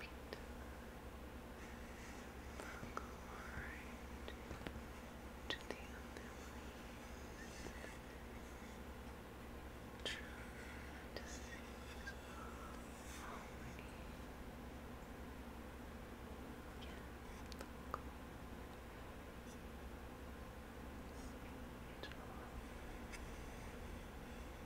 deep Accord to the other True to things already. Again, local. Draw.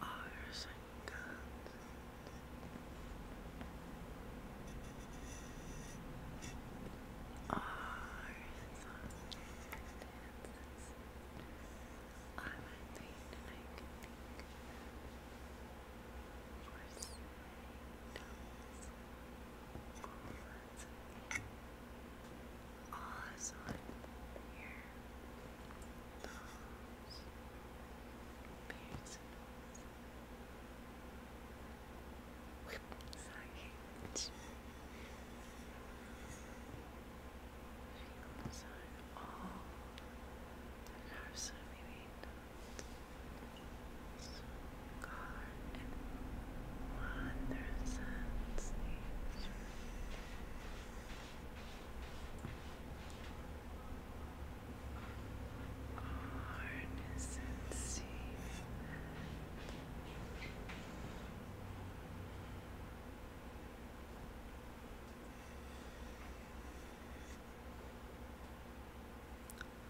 Ours and guns. Ours I'm at the and I can think for say dogs for words. Pause on your nose, pierce nose, whip side, feel side, all the nerves are maybe so gone and wander sense nature. Arnesency.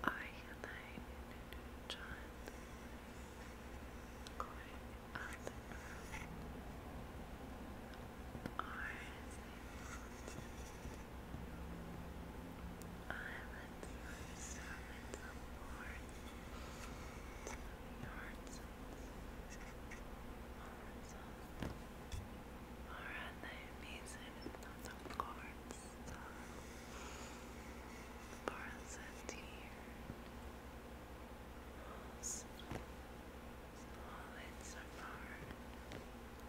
I am John going on the earth are I let my servant aboard to the yards or at the amazing of the courts for us a dear solids apart,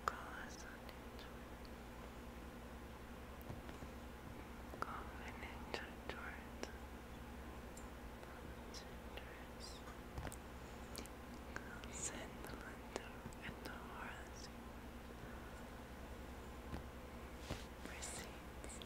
cause Covenant towards Centers Send the the horse Receipts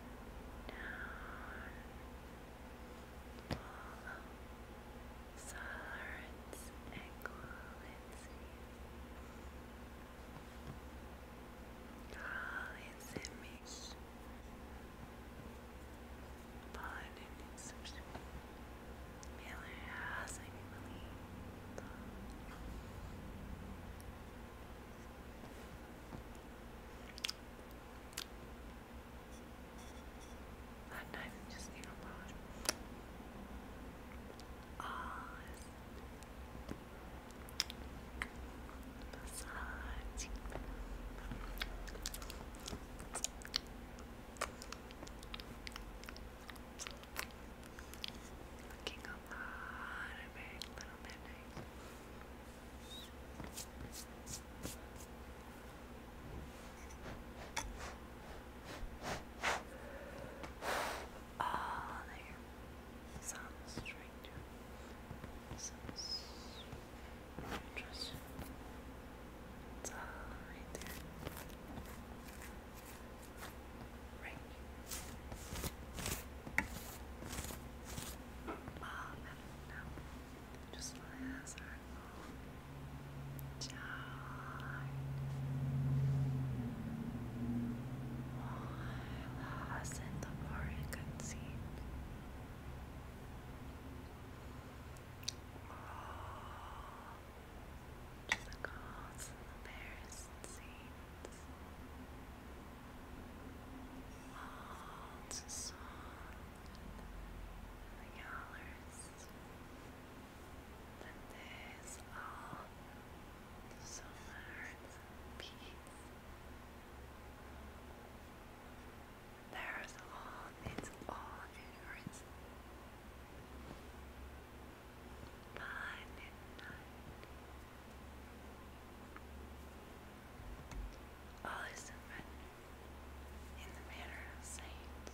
down, follow and quality. All is image, upon an insertion, Miller has a I'm not even just you know Oz Looking a lot of it, little midnight. Oh, there. Sounds strange. Sounds uh, interesting. there. Right just my ass are mom. in the bar and could just the calls the embarrassing scenes. Oh, it's a song. The colors. And there's all so peace. There's all, it's all yours. Fun all is written in the manner of saints,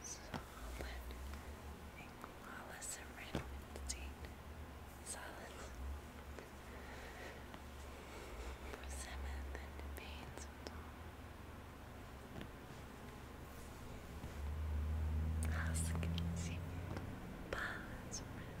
solid and flawless and written solid. Persimmon and pains and all. Ask, seek, pause, rest.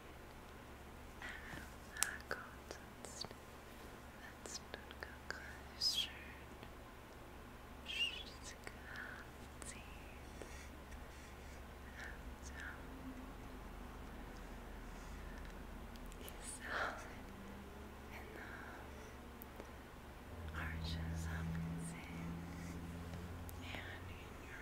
I got that's that's not good question. She's got it. So, he's solid enough. Arches up and in, and in your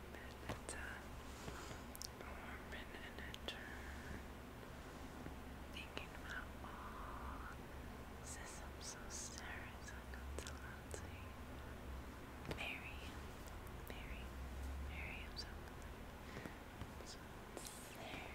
Uh, and uh, warm and a Thinking about all systems of stars and consolancy. Mary, Mary, Mary of something. So it's there,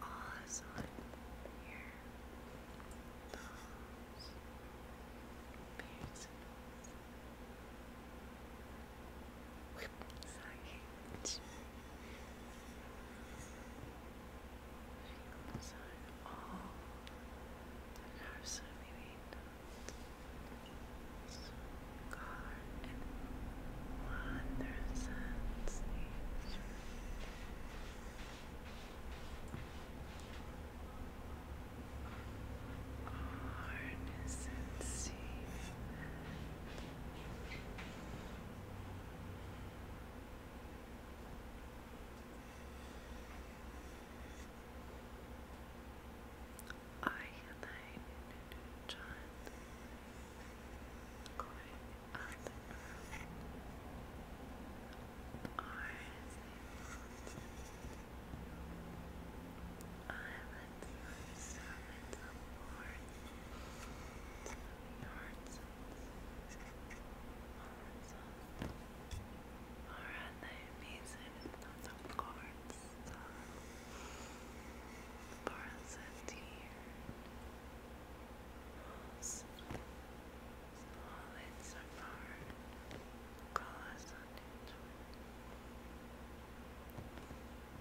Awesome. Your nose. Whip. Sorry. Feels on all the nerves of your nose. Scarlet wonders and seas. Harness and I and I, John, going up are I let the servant of Lord to the hearts are at the amazing of the courts solids are foreign colors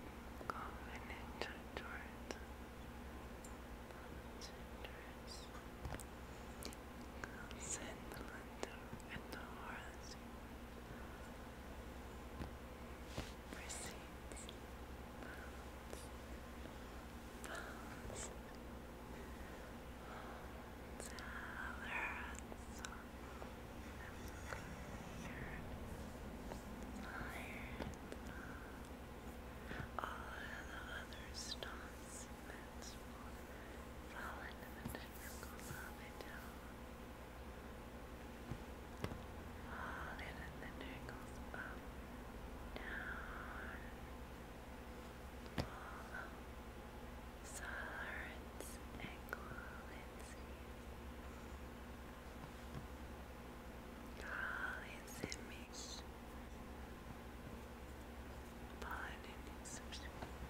on Covenant towards Chindress, Sandalando, and the Horace. Receipts, pounds, pounds, dollars, all of the other stones meant fallen and the difficult of it down. Hold it and then it goes up, down, follow Solarance and Colinsies. Colinsimies. Pollen and insubstitute.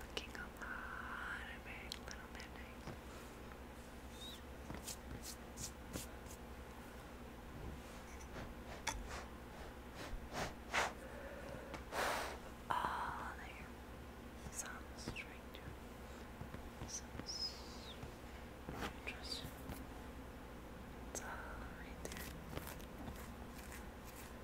Looking a lot of big little midnights. All ah, there. Some strength. Some interest. It's all right there.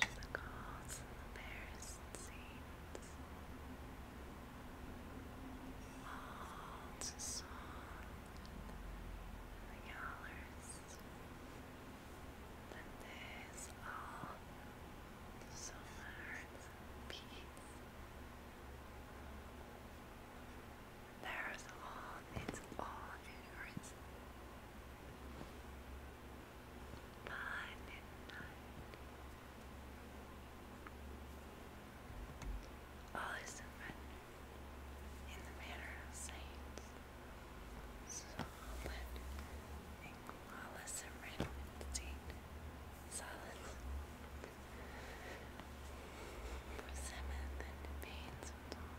to the calls of the bears and saints, all song the yallers, that there's all so hearts peace. There's all, it's all in by All is written in the manner of saints, solid flawless and written solid. For seventh and pains of dawn,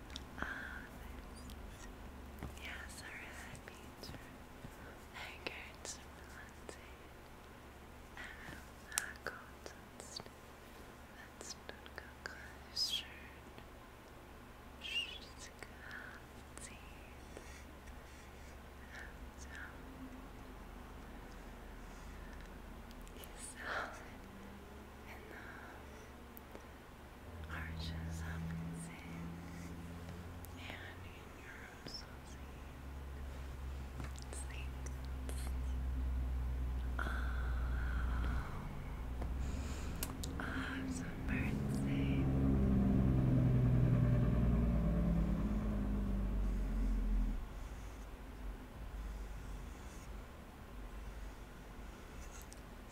Office. Yes, I read that picture. I encourage someone to I don't know, that's, that's not good question. She's got teeth. And, um, you enough arches up and sin, and in your own soul sleep. Sleep. Oh, ah. awesome birthday.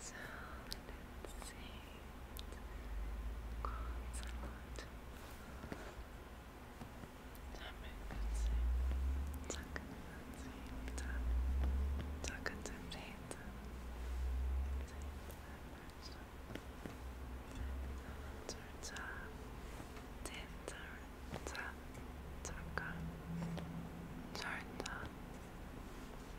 So let's see. Oh, it's a lot. Turn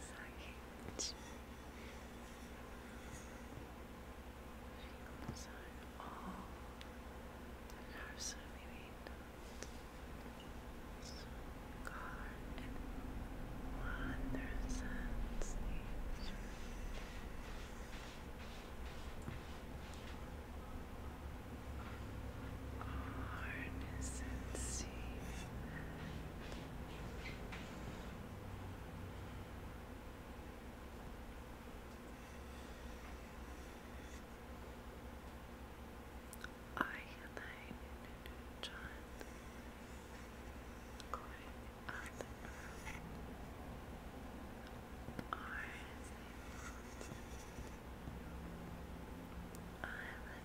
Science. Fields are all universally made. God and wonders and sleeps. Harness and see I and I, John, going up are I am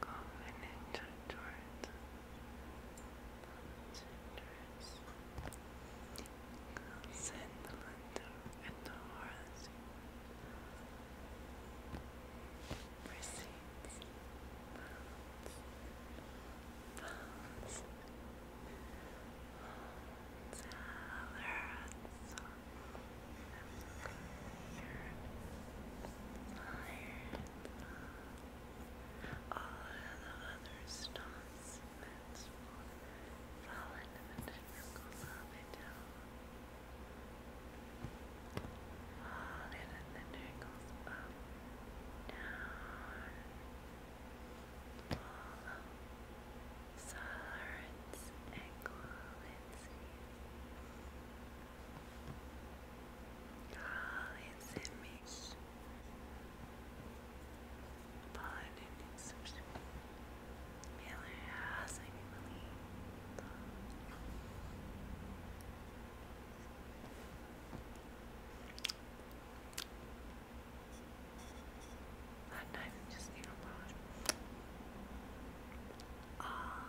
Covenant towards Cindrus, Sandalwood, and the Horus proceeds bounds, bounds, bounds, Fire, fire, all the other stars meant for fallen and typical love and Fallen and the trickles up, down. Follow Solarans Realize-mich. Pollenentzündung. Realize-mich. I'm not even just thinking about All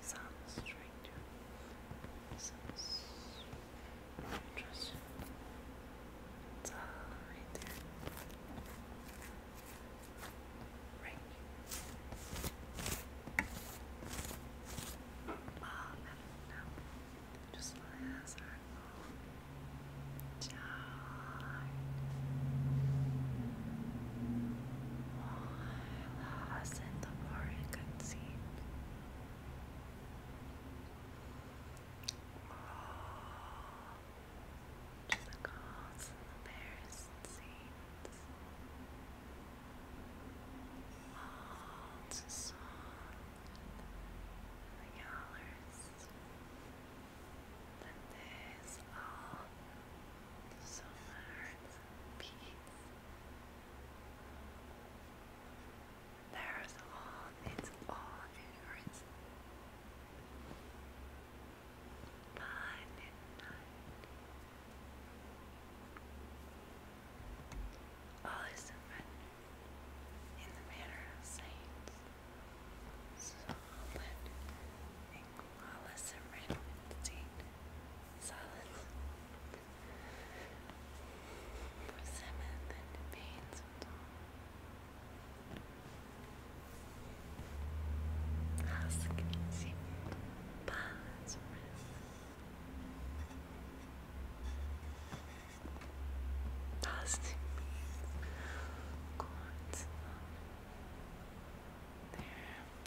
sounds trying to sounds uh, there. Right. Mom, I do Just last our lost in the Oregon scene. Oh, to the calls and the bears and scenes. All to song and the hours. That all summer and peace. There's all, it's all yours. By midnight, all is surrendered in the manner of saints, solid and Wallace and Redstein. Solid. For seventh and Baines and all. Hoskins. Balance Positive means God's love. There.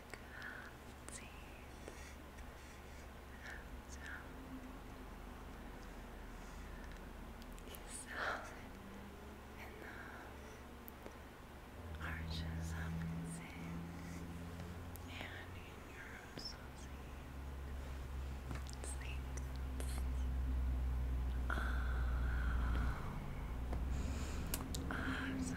grazie ciao is solid enough arches up and sin and in your own soul sleep sleep oh, I'm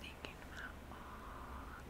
Thinking about all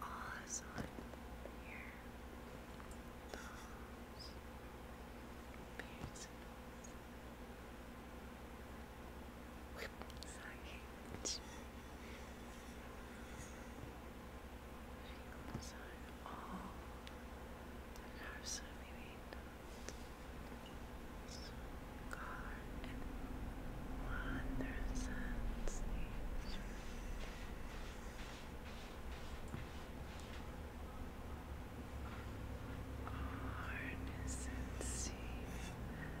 Awesome. Here. Nose. Pierce. Whip. Sorry. Feels on all the nerves Scarlet wanders and sleeps. Harness and see Scarlet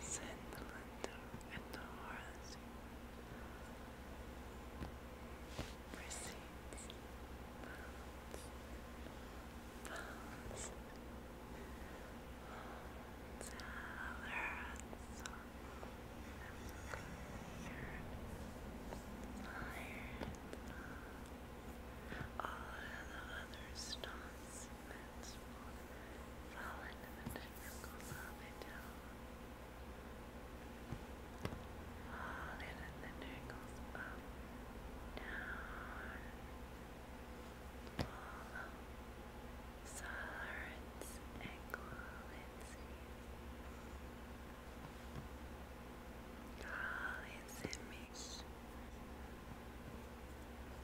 said the and the horse proceeds pounds, pounds, dollars, all the other stones movements fall into the technical love I tell. Fall into the trickles up, down, follow, solids, and coalities. Call its image.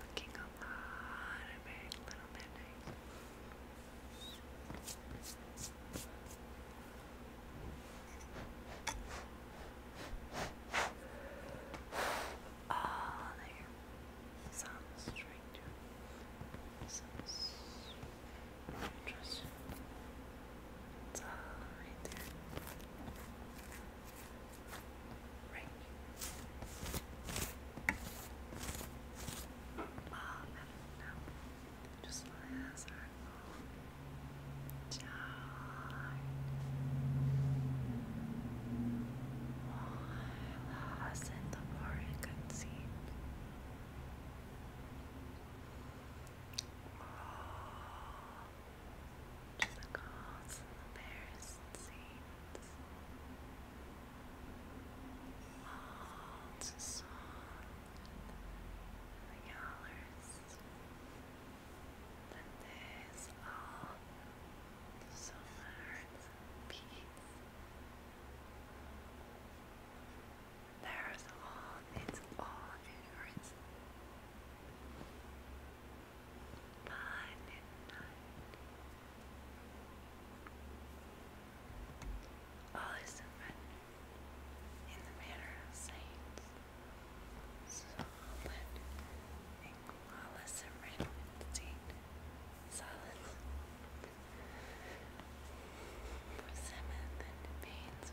Looking a lot of very little bit nice. Ah, there. Some strength. Some interesting. It's there. Right. Mom, I do know. Just last our phone. John. Why lost in the Oregon scene? Oh, to the calls the bears and saints, all to song the hours, that all so much peace. There's all, it's all yours. By midnight, all is surrendered in the manner of saints, solid and flawless serenity, solid. For seventh and pains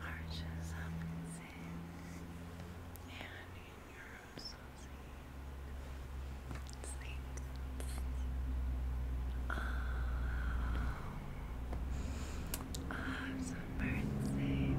arches up and in, and in your associated things. Oh, awesome birthday. Thank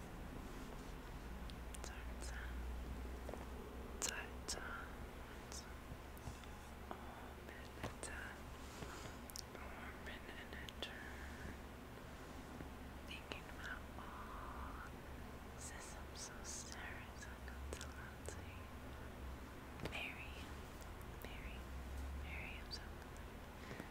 Thinking about all since I'm so serious, I go to Lindsay. Mary, Mary, Mary, I'm so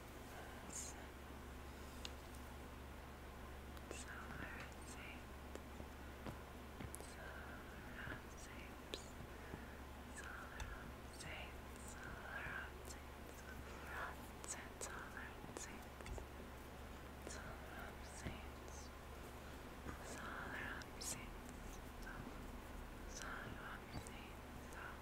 It's so safe. Solar safe. Solar safe. Solar safe. Solar safe. Solar safe. Solar safe. Solar safe. Solar safe.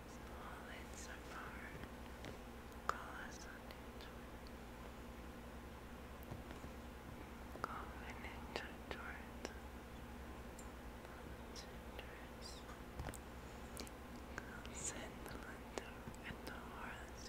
All insofar, call us uninjured. Call an injured towards us. Call Saint Melinda the Horace.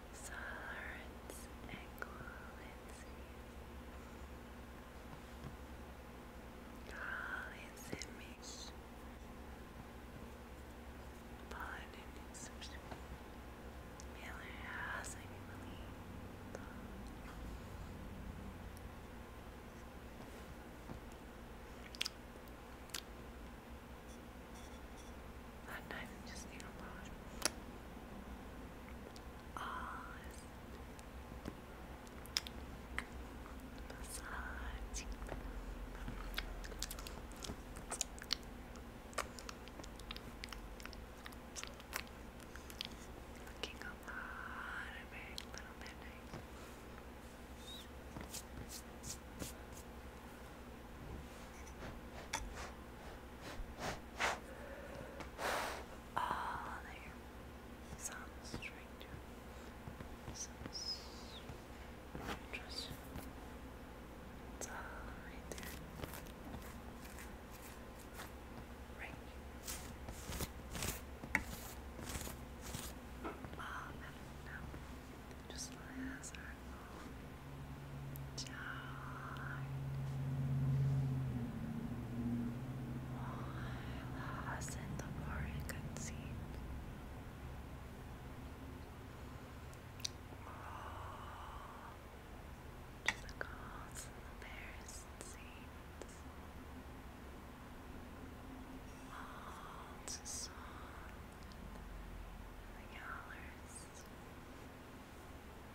Solaris, equivalencies. All is in me. housing believed. Not knife, just nail polish. Oz. Massage. Looking a lot of very little midnight. Oh, there. Sounds strange. Sounds uh, interesting. there. Right. Oh, I just läser på While I was in the boring cutscene Oh, the calls and the bears and scenes all to song and the colors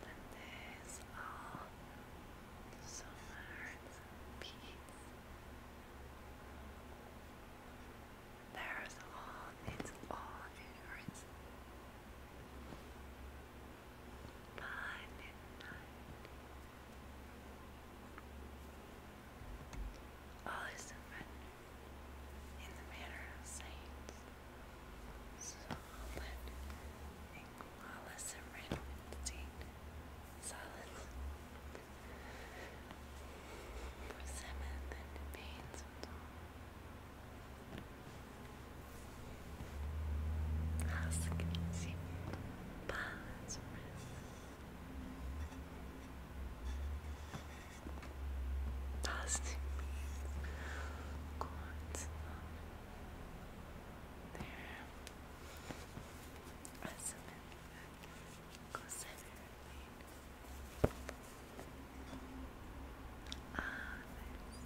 that there's all so much peace. There's all, it's all yours. By midnight, all is surrender in the manner of saints, solid flawless and red solid. For seventh and pains of dawn. Asking balance rest. Positive cords up there. That's a bit goes everything. Ah, this.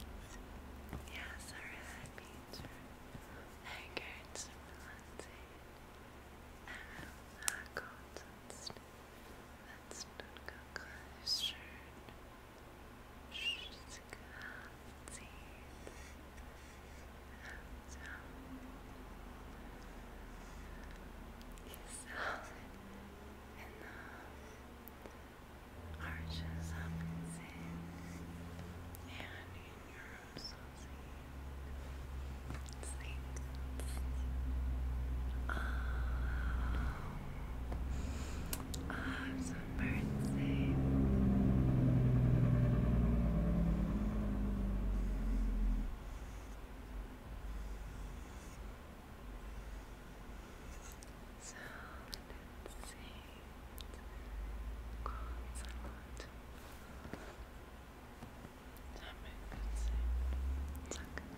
Yeah, sorry, that means angered someone saying, I will not let not go closer. Just can't see it. So, is solid enough. Arches up and in, and in your own Oh, oh i so birdsy. So let's a lot. That makes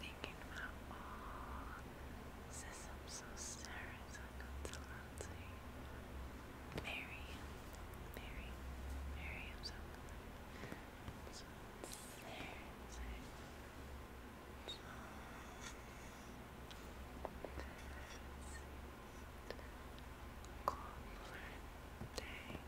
thinking about all systems of stars and consolancy. Mary, Mary, Mary of something. So Cold day.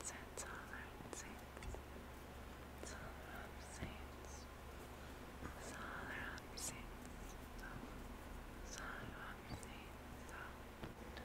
It's it's all right, saints. It's all right, saints. It's all right, saints. It's all right, saints. Time to go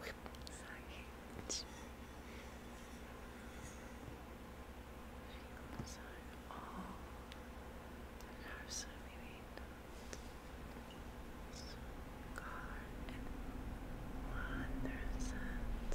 Whip side. Feelings are all that are so maybe not and wonders and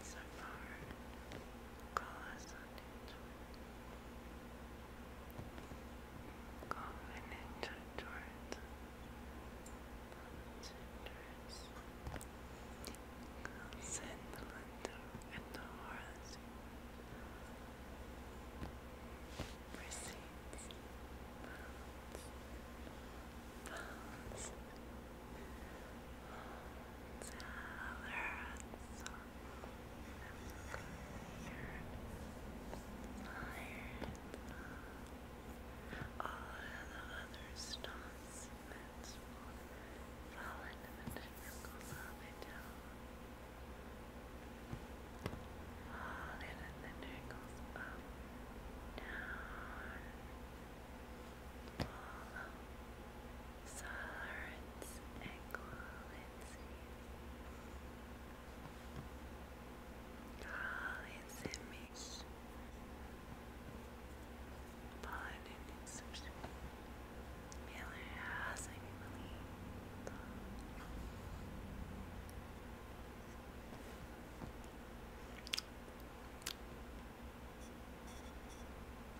solids are cause Covenant towards Senators Send the Lindu and the Horus Receipts Pounds all of the other stones fall into the tentacles of the tail. Fall into the tentacles up, down. Down, Paula, Lawrence, and Lindsay. Holly Simmons, Paula Nunes, Miller House,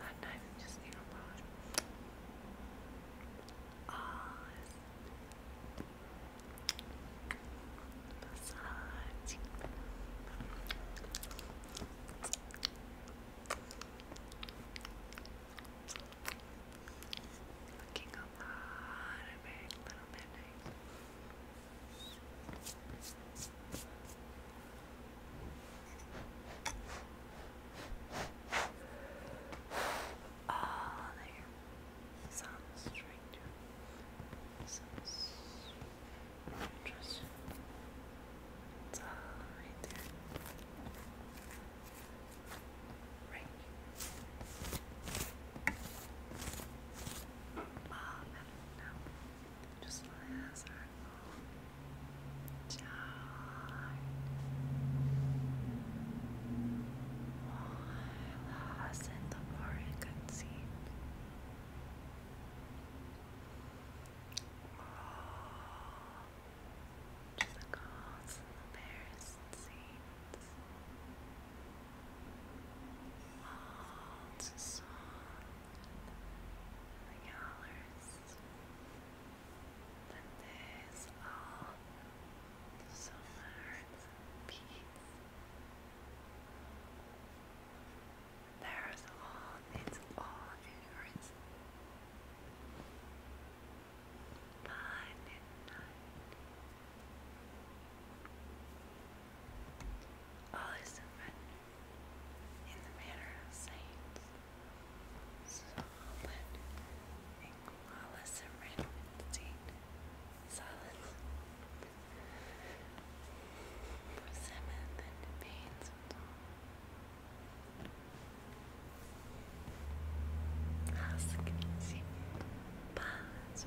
I'm not even just you know Oz Massage Looking a lot of it, little bit Oh, there. Sounds strange. Sounds interesting. It's all right there. Right. Um, now. Just lässt einfach down. While I in the Oregon sea. Oh, to the gods and the bears and saints. All to songs colors. Then there's all so hearts and There's all, it's all yours. Fun and All is surrender in the manner of saints, solid and flawless and rendered solid. and pains Ask and see pause rest.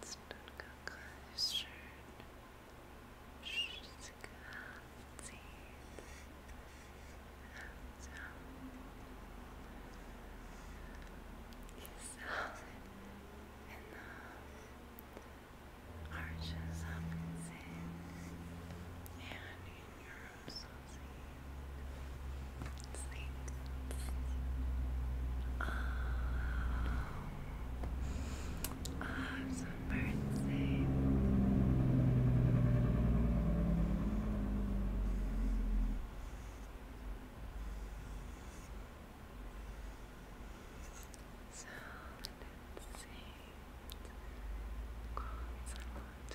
Let's not go closer. Just can't see. So, he's solid enough. Arches up and sink. And in your own soul things. Oh, oh I'm so birthday. So a lot.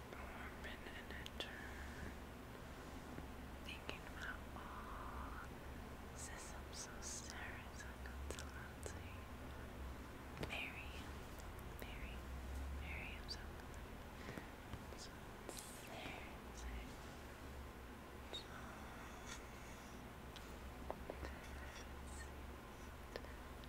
Orbit and a turn. Thinking about all systems of stars and consolancy. Mary, Mary, Mary of something. So it's there, it's So, let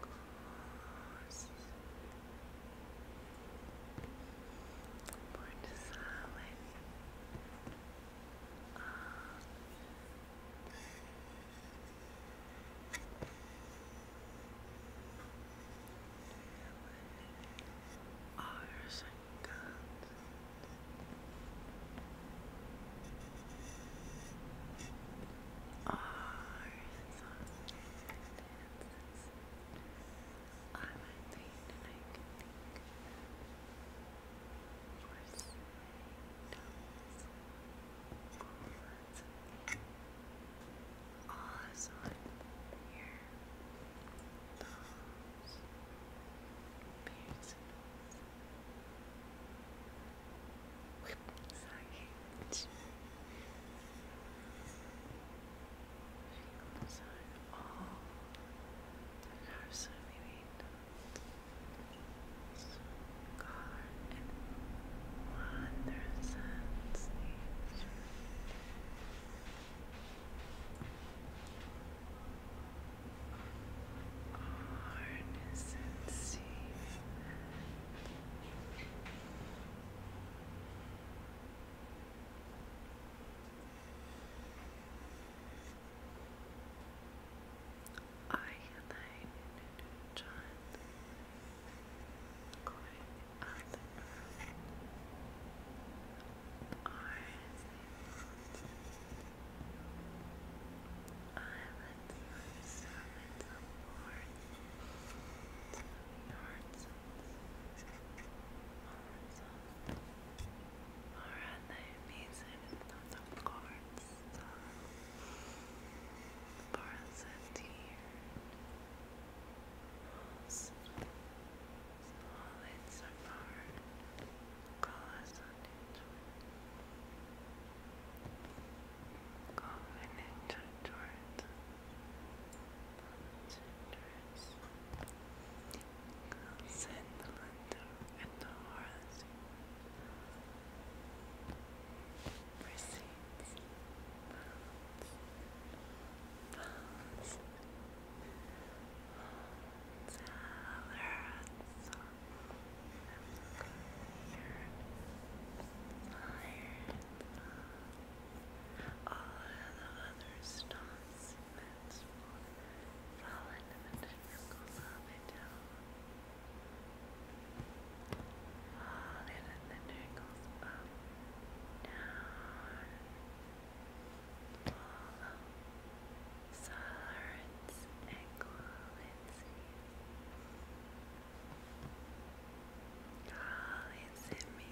close. Bort solid. Um, Ours and guns. I might think and I can think horse toes forwards Oz on here toes beards and whip those are all absolutely so God and wonders and nature. Harness and see. I, Elaine, and John, going up the earth, I let the earth summon the Lord to the hearts Alright, the music of the chords for us a tear most solid so far cause on it go in it Centers, Sandlander, and Horace receipts, pounds, pounds, salads, Tired, tired, tired. All the other stars meant for fall into the triangle of it all. into the triangles up, down. Follow Solarance and Colincy. Collins in me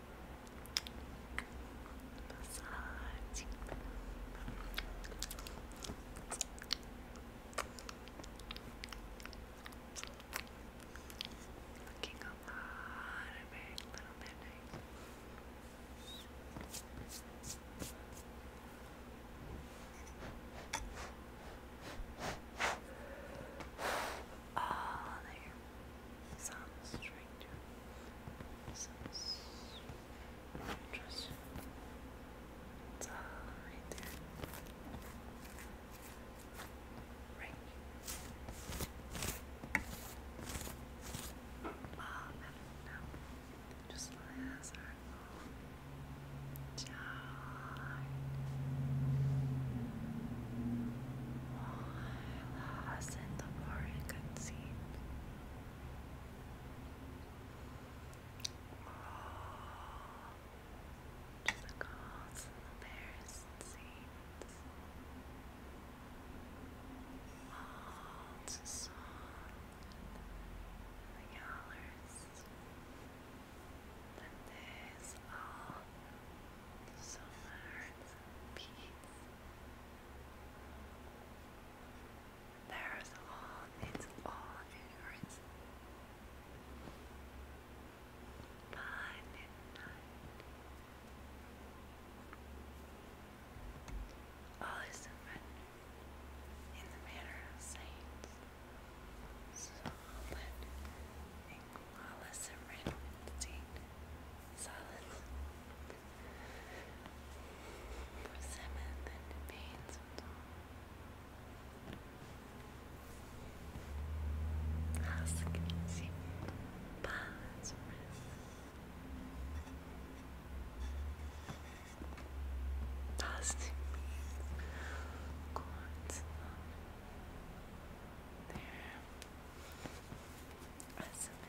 Massage. Looking a lot of big little midnights. All there. Some stranger, some interest. It's Right. Oh, I don't know. Just last our phone. While was in the park, good scene. the calls and the bears and scenes. All to song and the yellers. And there's all so much peace. There's all it's all ignorance. By midnight. All is surrendered in the manner of saints. Solid and flawless Solid Persimmon and pains and all. Husky, balance, Positive cords there. As a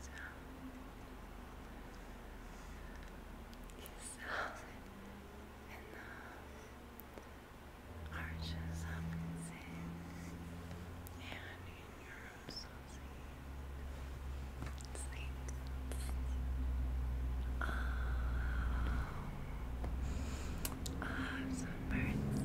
So, is Arches up and and in your associate things. Oh, oh, ah, ah, ah, some birds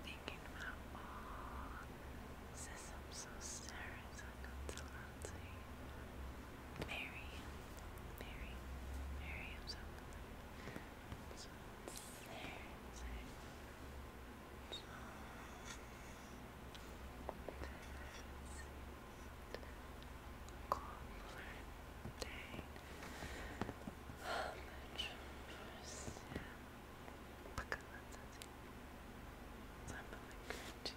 Thinking about all systems of stairs and consultancy. Mary, Mary, Mary of something. So it's there, it's there. So, Confrontain. Bakalım da değil. Sen bana güveneceksin.